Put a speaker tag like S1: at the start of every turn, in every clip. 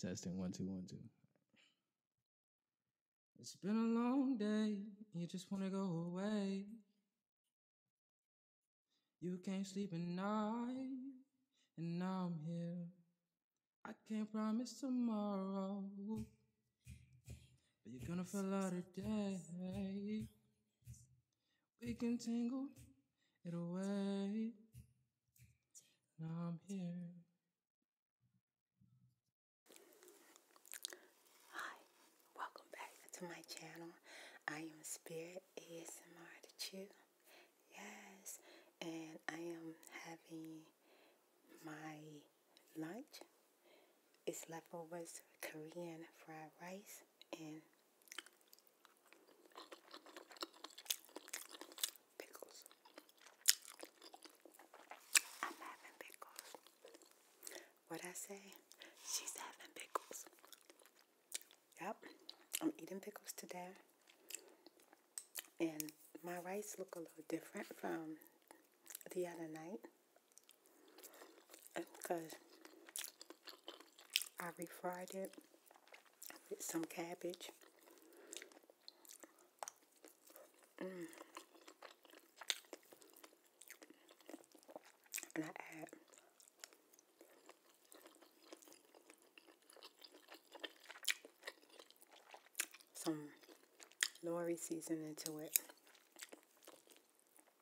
S1: Testing one two one two. It's been a long day. You just wanna go away. You can't sleep at night, and now I'm here. I can't promise tomorrow, but you're gonna feel out today. We can tangle it away. Now I'm here. Hi, welcome back to my channel. I am Spirit ASMR to Chew. Yes, and I am having my lunch. It's leftovers Korean fried rice and Pickles. I'm having pickles. What I say? She's having pickles. Yep, I'm eating pickles today. And my rice look a little different from the other night. Because I refried it with some cabbage. Mm. And I add some Lori seasoning to it.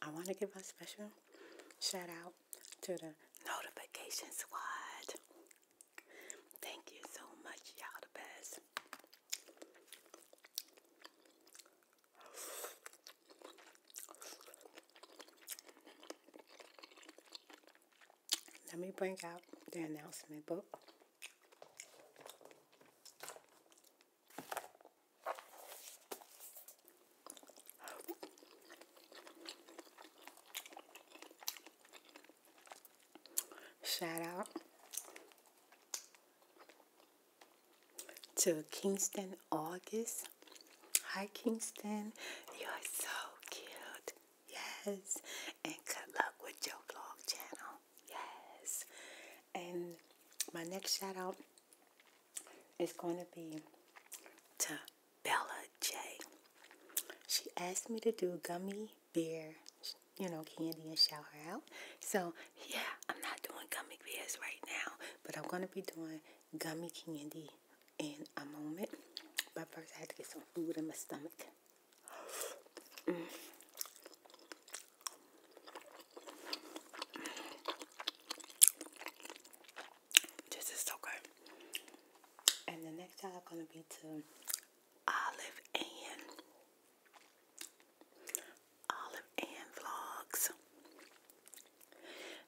S1: I want to give a special shout out to the notification squad. Thank you so much, y'all the best. Let me bring out the announcement book. Shout out to Kingston August. Hi, Kingston. You are so cute. Yes. And good luck with your vlog channel. Yes. And my next shout out is going to be to Bella J. She asked me to do gummy bear, you know, candy and shout her out. So, yeah, I'm not doing gummy bears right now, but I'm going to be doing gummy candy in a moment. But first, I had to get some food in my stomach. This is so good. And the next time I'm gonna be to Olive and Olive Ann vlogs.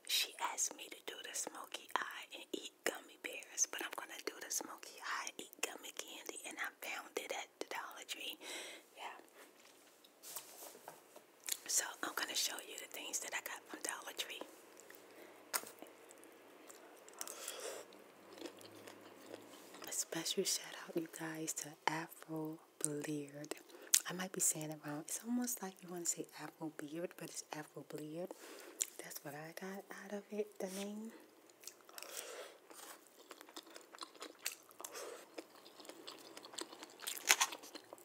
S1: She asked me to do the smoky eye and eat gummy bears, but I'm gonna do the smoky eye eat gummy candy, and I found it at the Dollar Tree. Yeah. So I'm gonna show you the things that I got from Dollar Tree. A special shout out, you guys, to Afro Beard. I might be saying it wrong. It's almost like you want to say Apple Beard, but it's Afro Beard. That's what I got out of it, the name.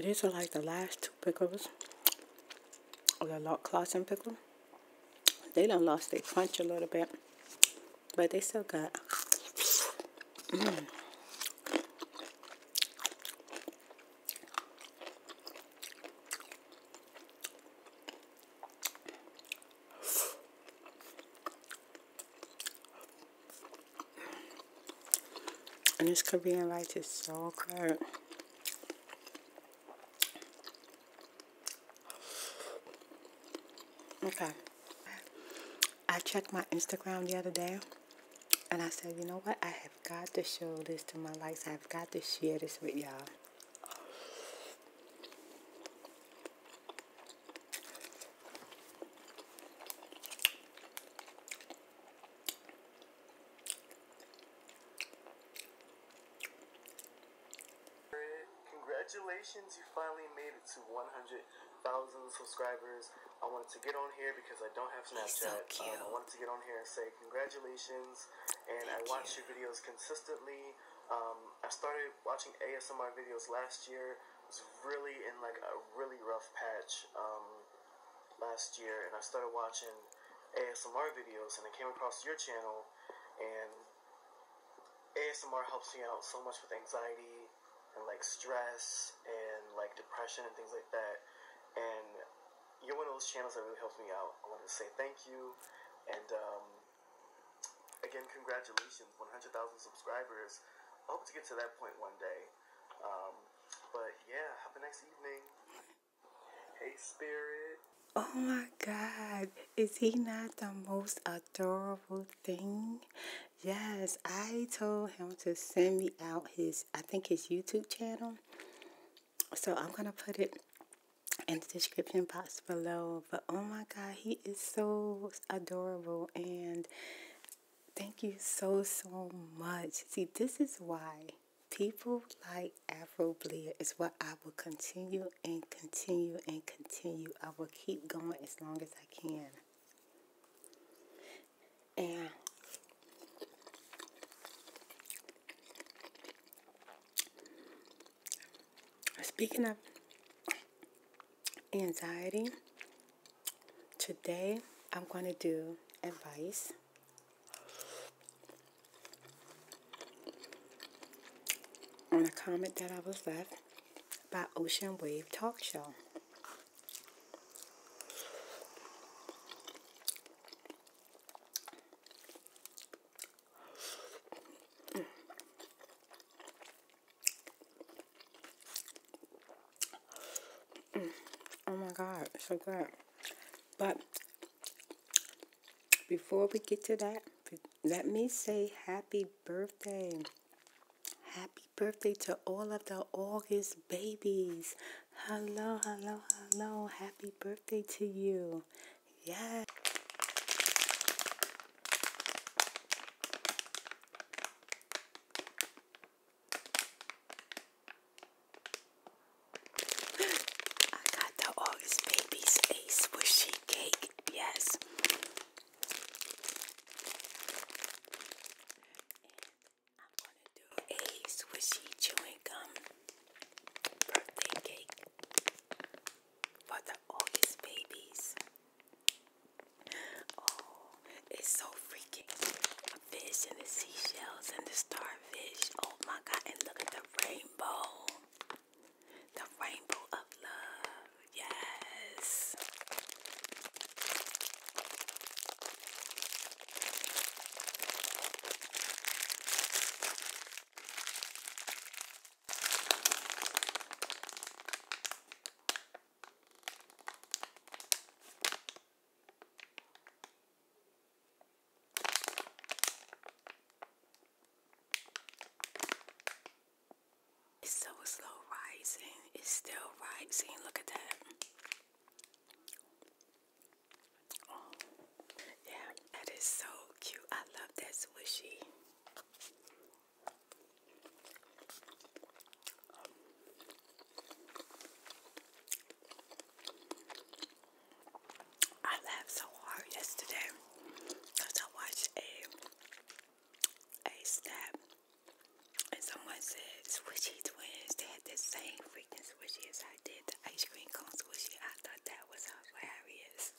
S1: These are like the last two pickles of the and pickle. They done lost their crunch a little bit, but they still got. And this Korean light is so good. Okay. I checked my Instagram the other day and I said, you know what? I have got to show this to my likes. I have got to share this with y'all. Congratulations, you finally made it to 100,000 subscribers. I wanted to get on here because I don't have Snapchat. Um, I wanted to get on here and say congratulations. And I watch your videos consistently. Um, I started watching ASMR videos last year, was really in like a really rough patch um, last year, and I started watching ASMR videos, and I came across your channel, and ASMR helps me out so much with anxiety and like stress and like depression and things like that, and you're one of those channels that really helps me out. I wanted to say thank you, and um, again, congratulations, 100,000 subscribers. I hope to get to that point one day. Um, but yeah, have a nice evening. Hey, Spirit. Oh my God, is he not the most adorable thing? Yes, I told him to send me out his, I think his YouTube channel. So I'm going to put it in the description box below. But oh my God, he is so adorable. And Thank you so, so much. See, this is why people like Afrobeat is what I will continue and continue and continue. I will keep going as long as I can. And speaking of anxiety. Today, I'm going to do advice. On a comment that I was left by Ocean Wave Talk Show. Mm. Oh my god, so good. But before we get to that, let me say happy birthday. Happy birthday to all of the August babies. Hello, hello, hello. Happy birthday to you. Yeah. I got the August Babies a squishy cake. Yes. I'm gonna do a swishy chewing gum birthday cake for the August babies. Oh, it's so freaking fish and the seashells and the starfish. Oh my god, and look at the rainbow. The rainbow of love. Yes. It's so slow rising. It's still rising. Look at that. Oh, yeah, that is so cute. I love that swishy. I laughed so hard yesterday because I watched a a snap and someone said swishy twins they had the same freaking swishy as I did the ice cream cone swishy I thought that was hilarious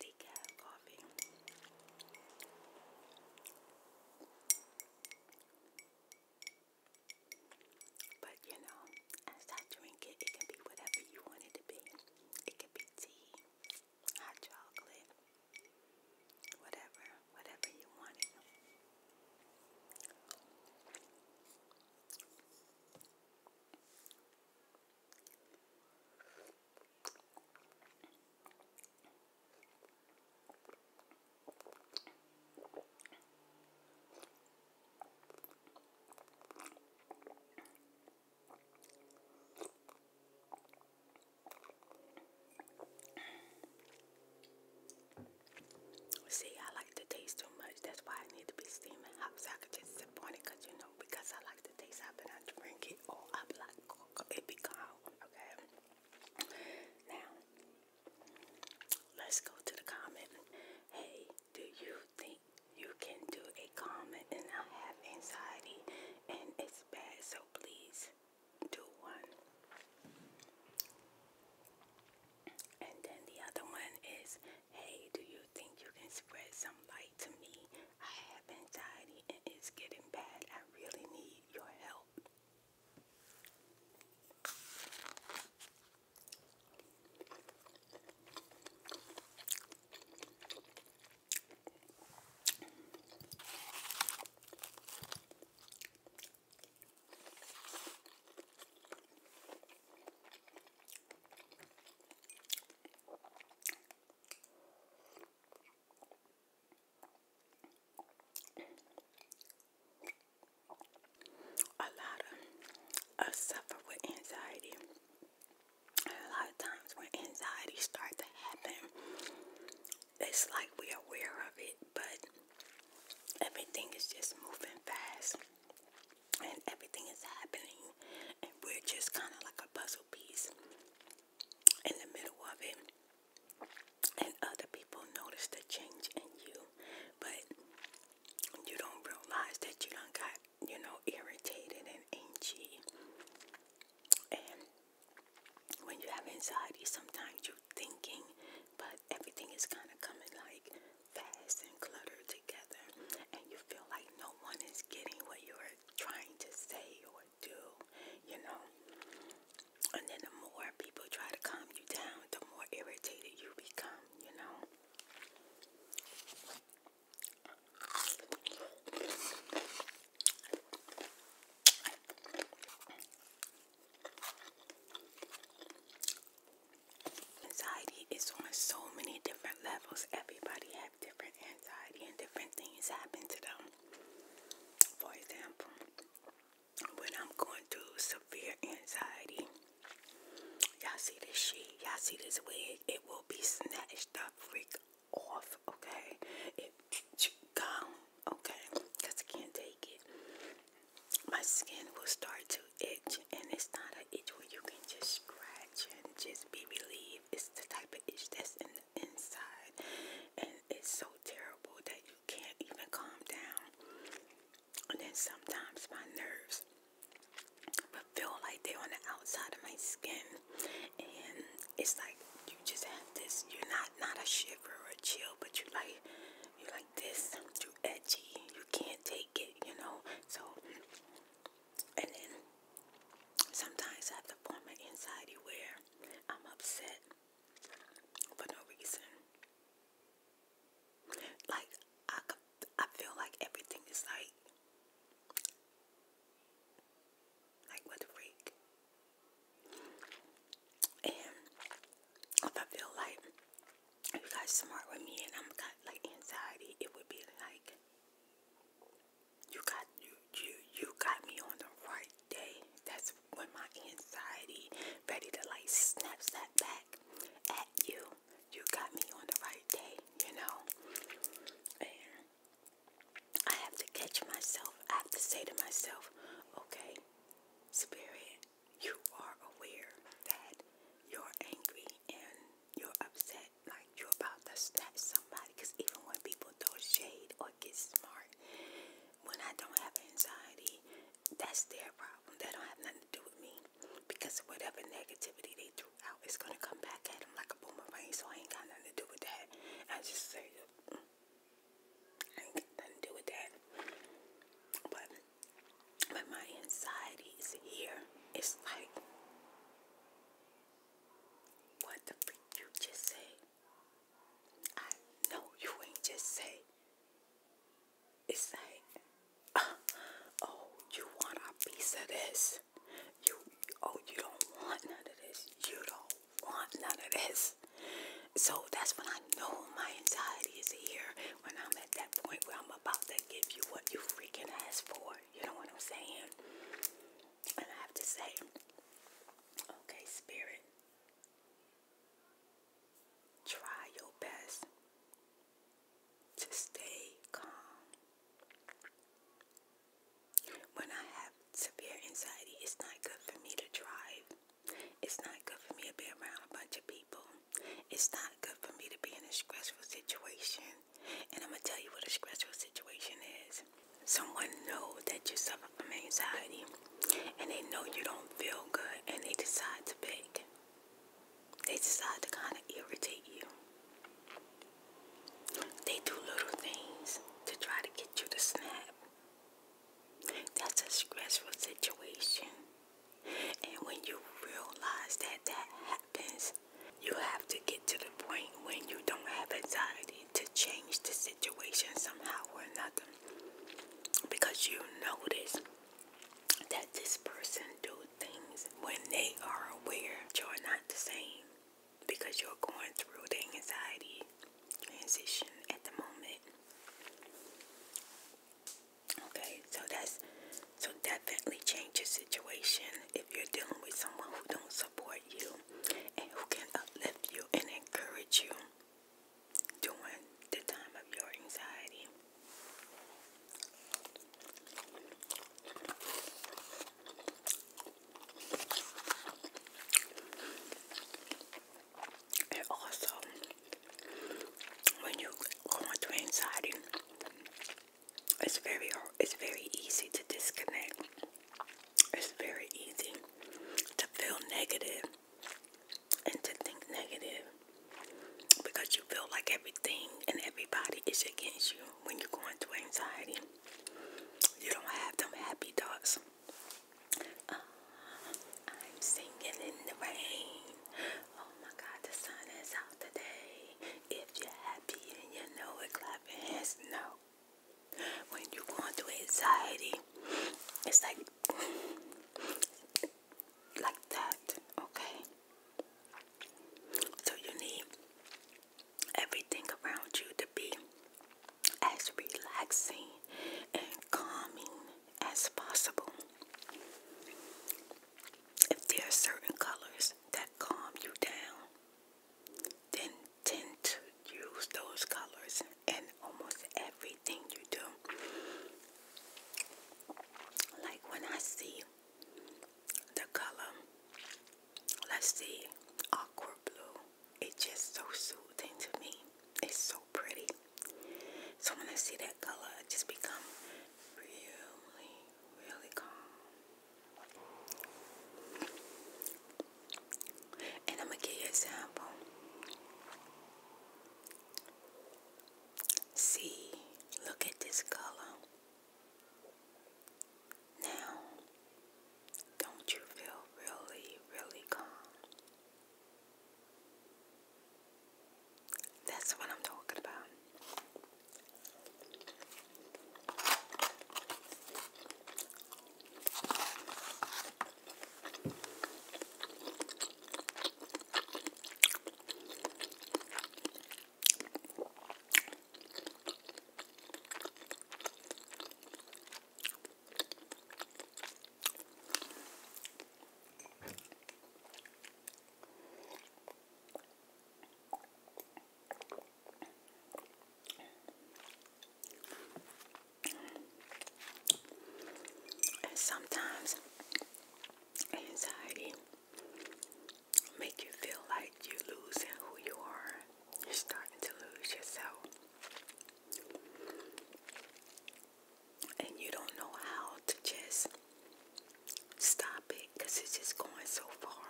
S1: Decaf coffee. But you know, as I drink it, it can be whatever you want to be. It can be tea hot chocolate, whatever, whatever you wanted. See, I like the taste too much. That's why I need to be steaming hot so I can just sip on it. Cause you know, because I like the taste of it, I drink it all up like it be cold. Okay. Now, let's go to the comment. Hey, do you think? you can do a comment and I have anxiety and it's bad so please do one. And then the other one is hey do you think you can spread some light to me? I have anxiety and it's getting bad. I really need your help. A lot of us suffer with anxiety a lot of times when anxiety starts to happen, it's like we're aware of it, but everything is just moving fast and everything is happening, and we're just kind of like a puzzle piece in the middle of it. And other people notice the change in you, but you don't realize that you don't got you know, irritated and anxious. And when you have anxiety, sometimes you're thinking, but everything is kind of coming like fast and cluttered together. And you feel like no one is getting what you're trying to say or do, you know. And then the more people try to calm you down, the more irritated you become, you know. Anxiety is on so many different levels. Everybody have different anxiety and different things happen to them. For example, when I'm going through severe anxiety, y'all see this sheet, y'all see this wig, it will be snatched up freak off, okay? It gone, okay? Because I can't take it. My skin will start to itch, and it's not an itch where you can just scratch and just be relieved. It's the type of itch that's in the inside, and it's so terrible that you can't even calm down. And then sometimes my nerves but feel like they're on the outside of my skin, and it's like you just have this. You're not not a shiver or a chill, but you like you are like this. You edgy. You can't take it. You know. So, and then sometimes I have the form of anxiety where I'm upset for no reason. Like I, I feel like everything is like like, what a freak. And if I feel like you guys smart with me and I'm got like anxiety, it would be like you got you you you got me on the right day. That's when my anxiety ready to like snap snap back at you. You got me on the right day, you know. And I have to catch myself. I have to say to myself, okay, Spirit, you are aware that you're angry and you're upset, like you're about to stab somebody. Because even when people throw shade or get smart, when I don't have anxiety, that's their problem. That don't have nothing to do with me. Because of whatever negativity they throughout, it's gonna come back at him like a boomerang. So I ain't got nothing to do with that. I just say, mm, I ain't got nothing to do with that. But but my anxiety is here. It's like, what the freak you just say? I know you ain't just say. It's like, uh, oh, you want a piece of this? You, oh, you don't want none of this. You don't want none of this. So that's when I know my anxiety is here. When I'm at that point where I'm about to give you what you freaking asked for. You know what I'm saying? And I have to say, okay, spirit, try your best to stay calm. When I have severe anxiety, it's not good for me to drive. It's not good for me to be around a bunch of people. It's not good for me to be in a stressful situation. And I'm going to tell you what a stressful situation is. Someone knows that you suffer from anxiety and they know you don't feel good and they decide to pick. They decide to kind of irritate you. They do little things to try to get you to snap. That's a stressful situation. And when you realize that that happens, you have to get to the point when you don't have anxiety to change the situation somehow or another. Because you notice that this person do things when they are aware you're not the same because you're going through the anxiety transition at the moment. Okay, so that's so definitely change your situation if you're dealing with someone who don't support you and who can uplift you and encourage you during the time of your anxiety also, when you go into anxiety, it's very it's very easy to disconnect. It's very easy to feel negative and to think negative because you feel like everything and everybody is against you when you go into anxiety. You don't have them happy thoughts. Uh, I'm singing in the rain. Oh my God, the sun is out today. If you're happy and you know it, clap your hands. No. When you're going through anxiety, it's like, like that, okay? So you need everything around you to be as relaxing and calming as possible. If there are certain colors that calm you down, then tend to use those colors in almost everything you do. Like when I see the color Let's see. Aqua blue. It's just so soothing to me. It's so pretty. So when I see that color, I just become really, really calm. And I'm going to give you an example. See, look at this color. Now, don't you feel really, really calm? That's what I'm talking about. And sometimes anxiety make you feel like you're losing who you are. You're starting to lose yourself. And you don't know how to just stop it because it's just going so far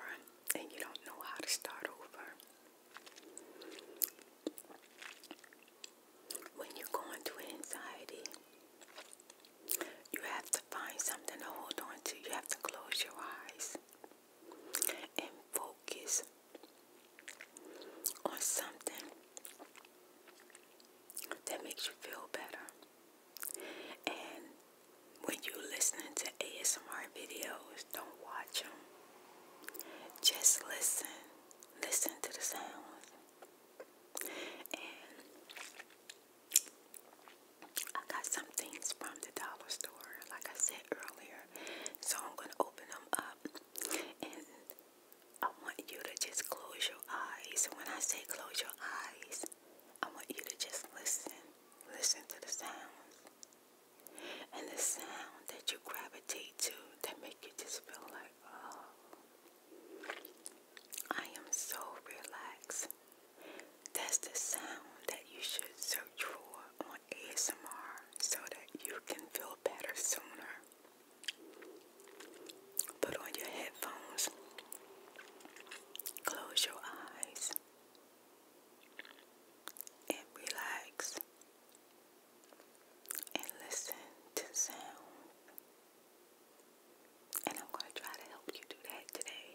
S1: and you don't know how to start over. When you're going to anxiety, you have to find something to hold on to. You have to close your eyes and focus on something that makes you feel better. And when you're listening to ASMR videos, don't watch them. Just listen. Listen to the sounds. I got some things from the dollar store, like I said earlier. So I'm going to open them up and I want you to just close your eyes. When I say close your eyes, I want you to just listen. Listen to the sounds. And the sound that you gravitate to that make you just feel like, oh, I am so relaxed. That's the sound that you should search for on ASMR so that you can feel better sooner. Put on your headphones, close your eyes, and relax and listen to sound. And I'm going to try to help you do that today.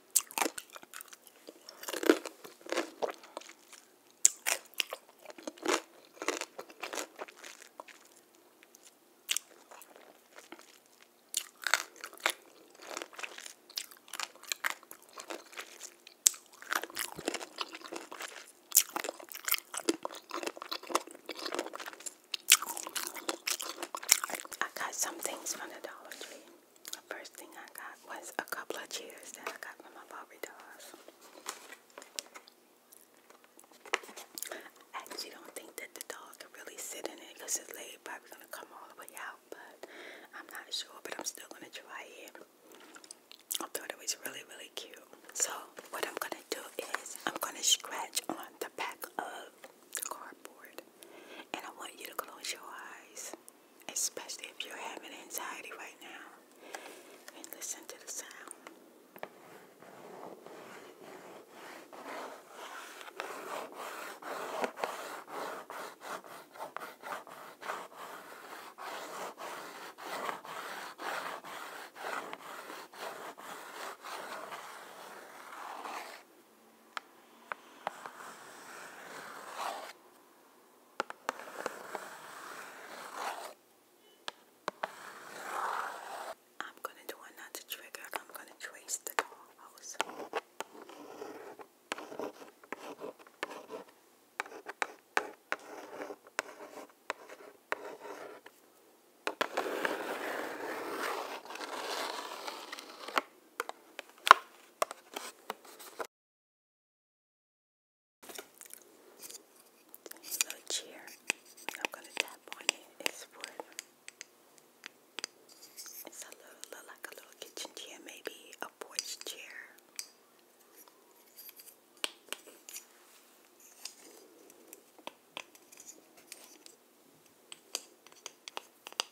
S1: I got some things from the Dollar Tree. First thing I got was a couple of cheers that I got from my Barbie dolls. actually don't think that the dog can really sit in it because his leg probably gonna come all the way out, but I'm not sure, but I'm still gonna try it. I thought it was really, really cute. So what I'm gonna do is I'm gonna scratch on the back of cardboard. And I want you to close your eyes, especially if you're having anxiety right now, and listen to the sound. I'm going to do another trigger. I'm going to trace the dollhouse. This little chair I'm gonna tap on it. It's wood. It's a little, look like a little kitchen chair, maybe a porch chair.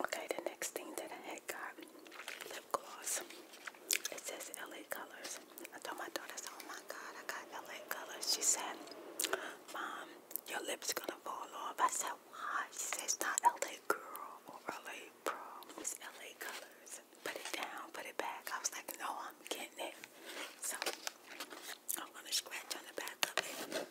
S1: Okay, the next thing that I got lip gloss. It says LA Colors. I told my daughter, I "Oh my God, I got LA Colors." She said, "Mom, your lips gonna fall off." I said, "Why?" She says, "It's not LA Girl or LA Pro. It's LA Colors." Put it down, put it back. I was like, "No, I'm getting it." So I'm oh, gonna scratch on the back of it. Okay.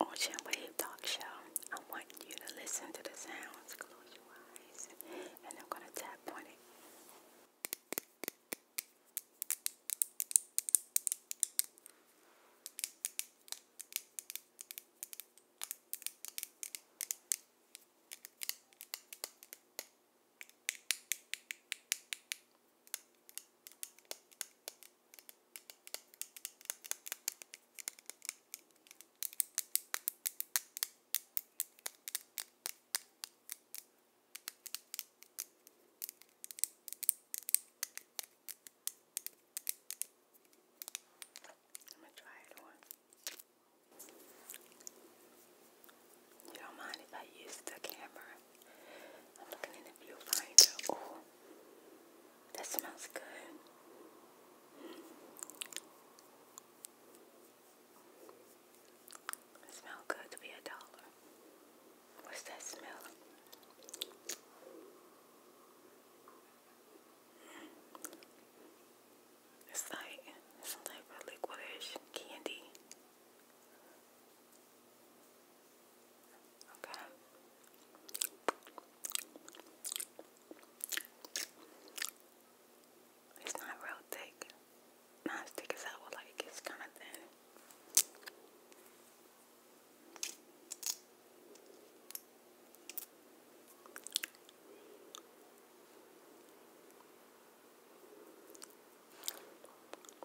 S1: Ocean Wave Talk Show. I want you to listen to the sounds. Close your eyes, and I'm going to tap on it. I'm gonna try it on. You don't mind if I use the camera? I'm looking in the blue Oh, that smells good. Hmm. smells good to be a dollar. What's that smell? Hmm. It's like some type of liquidish candy. Okay. It's not real thick. Not as thick as I would like. It's kind of thin.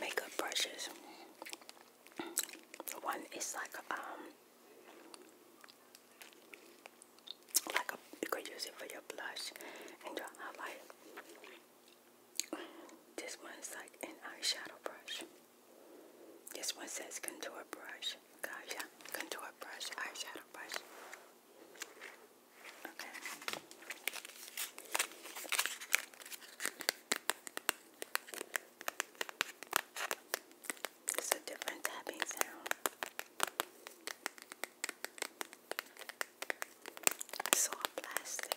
S1: makeup brushes. One is like um like a you could use it for your blush and your highlight. This one's like an eyeshadow brush. This one says contour brush. yeah, contour brush, eyeshadow brush. Okay. It's a different tapping sound. Soft plastic.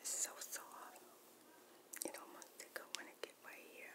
S1: It's so soft. It almost thicker when it get right here.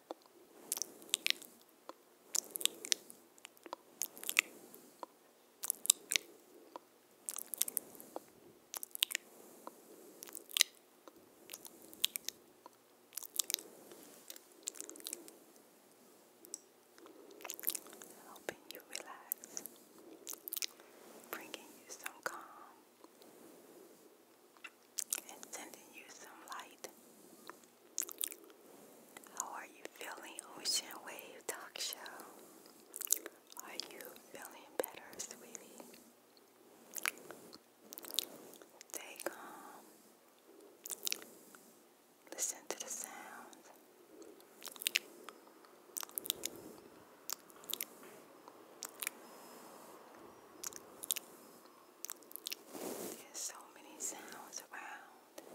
S1: Helping you relax, bringing you some calm, and sending you some light. How are you feeling, Ocean Wave Talk Show? Are you feeling better, sweetie? Stay calm. Listen to the sound. There's so many sounds around.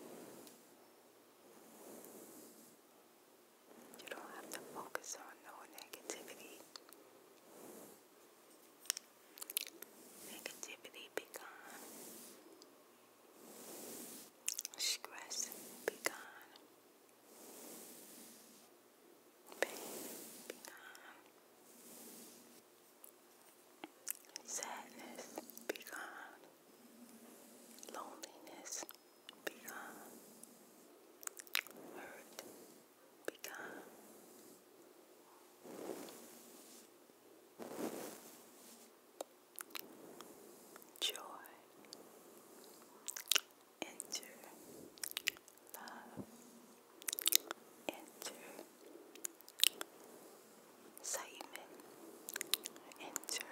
S1: You don't have to focus on no negativity. Negativity be gone. Stress be gone. Pain be gone. Sadness be gone. Loneliness be gone. Hurt be gone. Joy. Enter. Love. Enter. Simon, enter,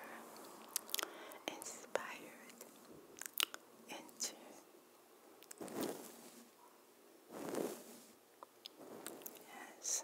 S1: inspired, enter, Yes.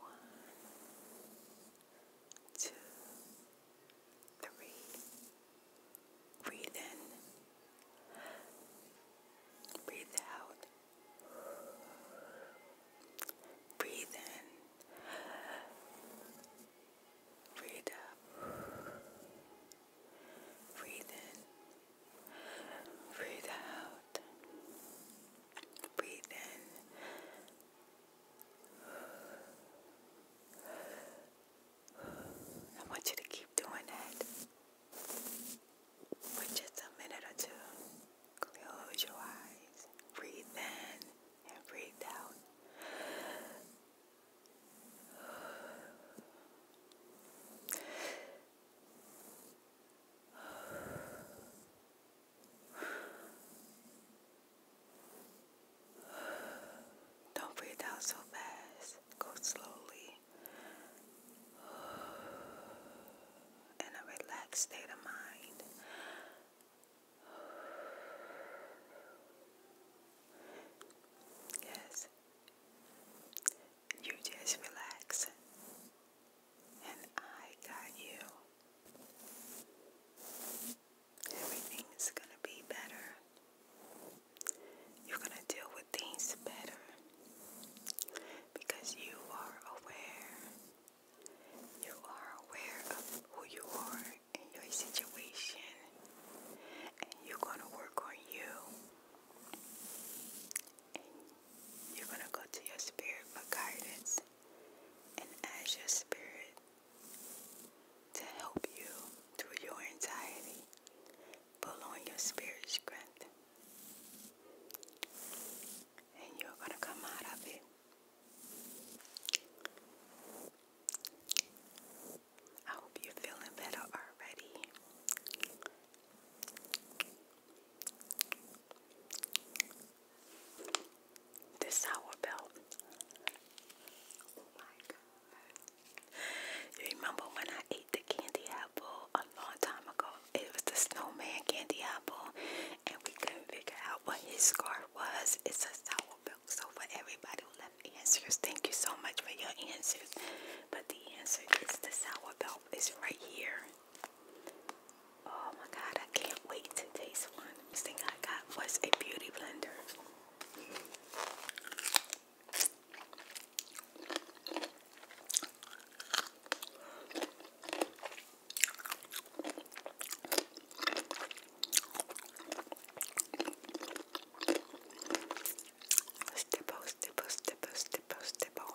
S1: One, two, three. Breathe in. Breathe out. Breathe in. Breathe out. Breathe in. Breathe out. Breathe in. I want you to keep doing that for just a minute or two. Close your eyes. Breathe in and breathe out. Don't breathe out so fast. Go slowly. In a relaxed state of mind. Yes, you just relax, and I got you. Everything's gonna be better. You're gonna deal with things better because you are aware. You are aware of who you are in your situation and you're gonna work on you you're gonna go to your spirit for guidance and ask your spirit to help you through your anxiety. Pull your spirit strength and you're gonna come out of it. I hope you're feeling better already. This hour belt. Oh you remember when I ate the candy apple a long time ago? It was the snowman candy apple and we couldn't figure out what his scarf was. It's a sour belt. So for everybody who left answers, thank you so much for your answers. But the answer is the sourbel is right here. Oh my god, I can't wait to taste one. This thing I got was a beauty blender. Stipple, stipple, stipple, stipple, stipple.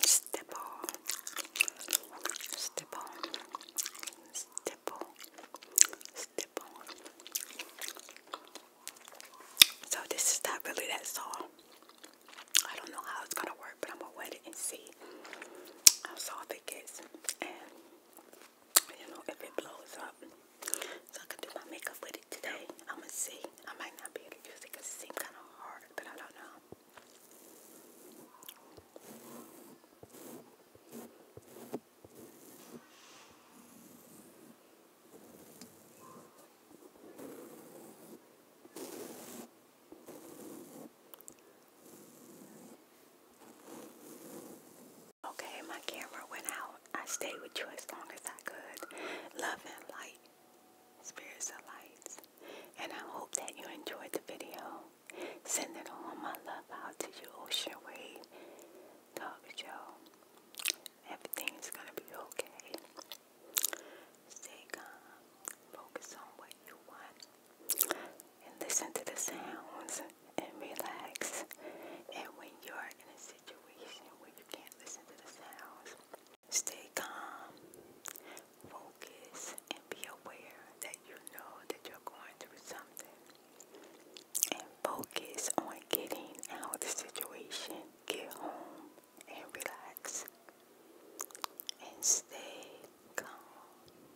S1: Stipple. Stipple. Stipple. Stipple. So this is not really that song. I don't know how it's gonna work, but I'm gonna wet it and see how soft it you know, if it blows up, so I could do my makeup with it today. I'm gonna see. I might not be able to use it because it seemed kind of hard, but I don't know. Okay, my camera went out. I stayed with you as long as I could. Love and light. Spirits of lights. And I hope that you enjoyed the video. Send it all my love out to you, Ocean Wave. Talk with you Everything's gonna be okay. Stay calm. Focus on what you want and listen to the sounds and relax. And when you are in a situation where you can't listen to the sounds, stay calm, focus, and be aware that you know that you're going through something. And focus on getting out of the situation. Get home and relax. And stay calm.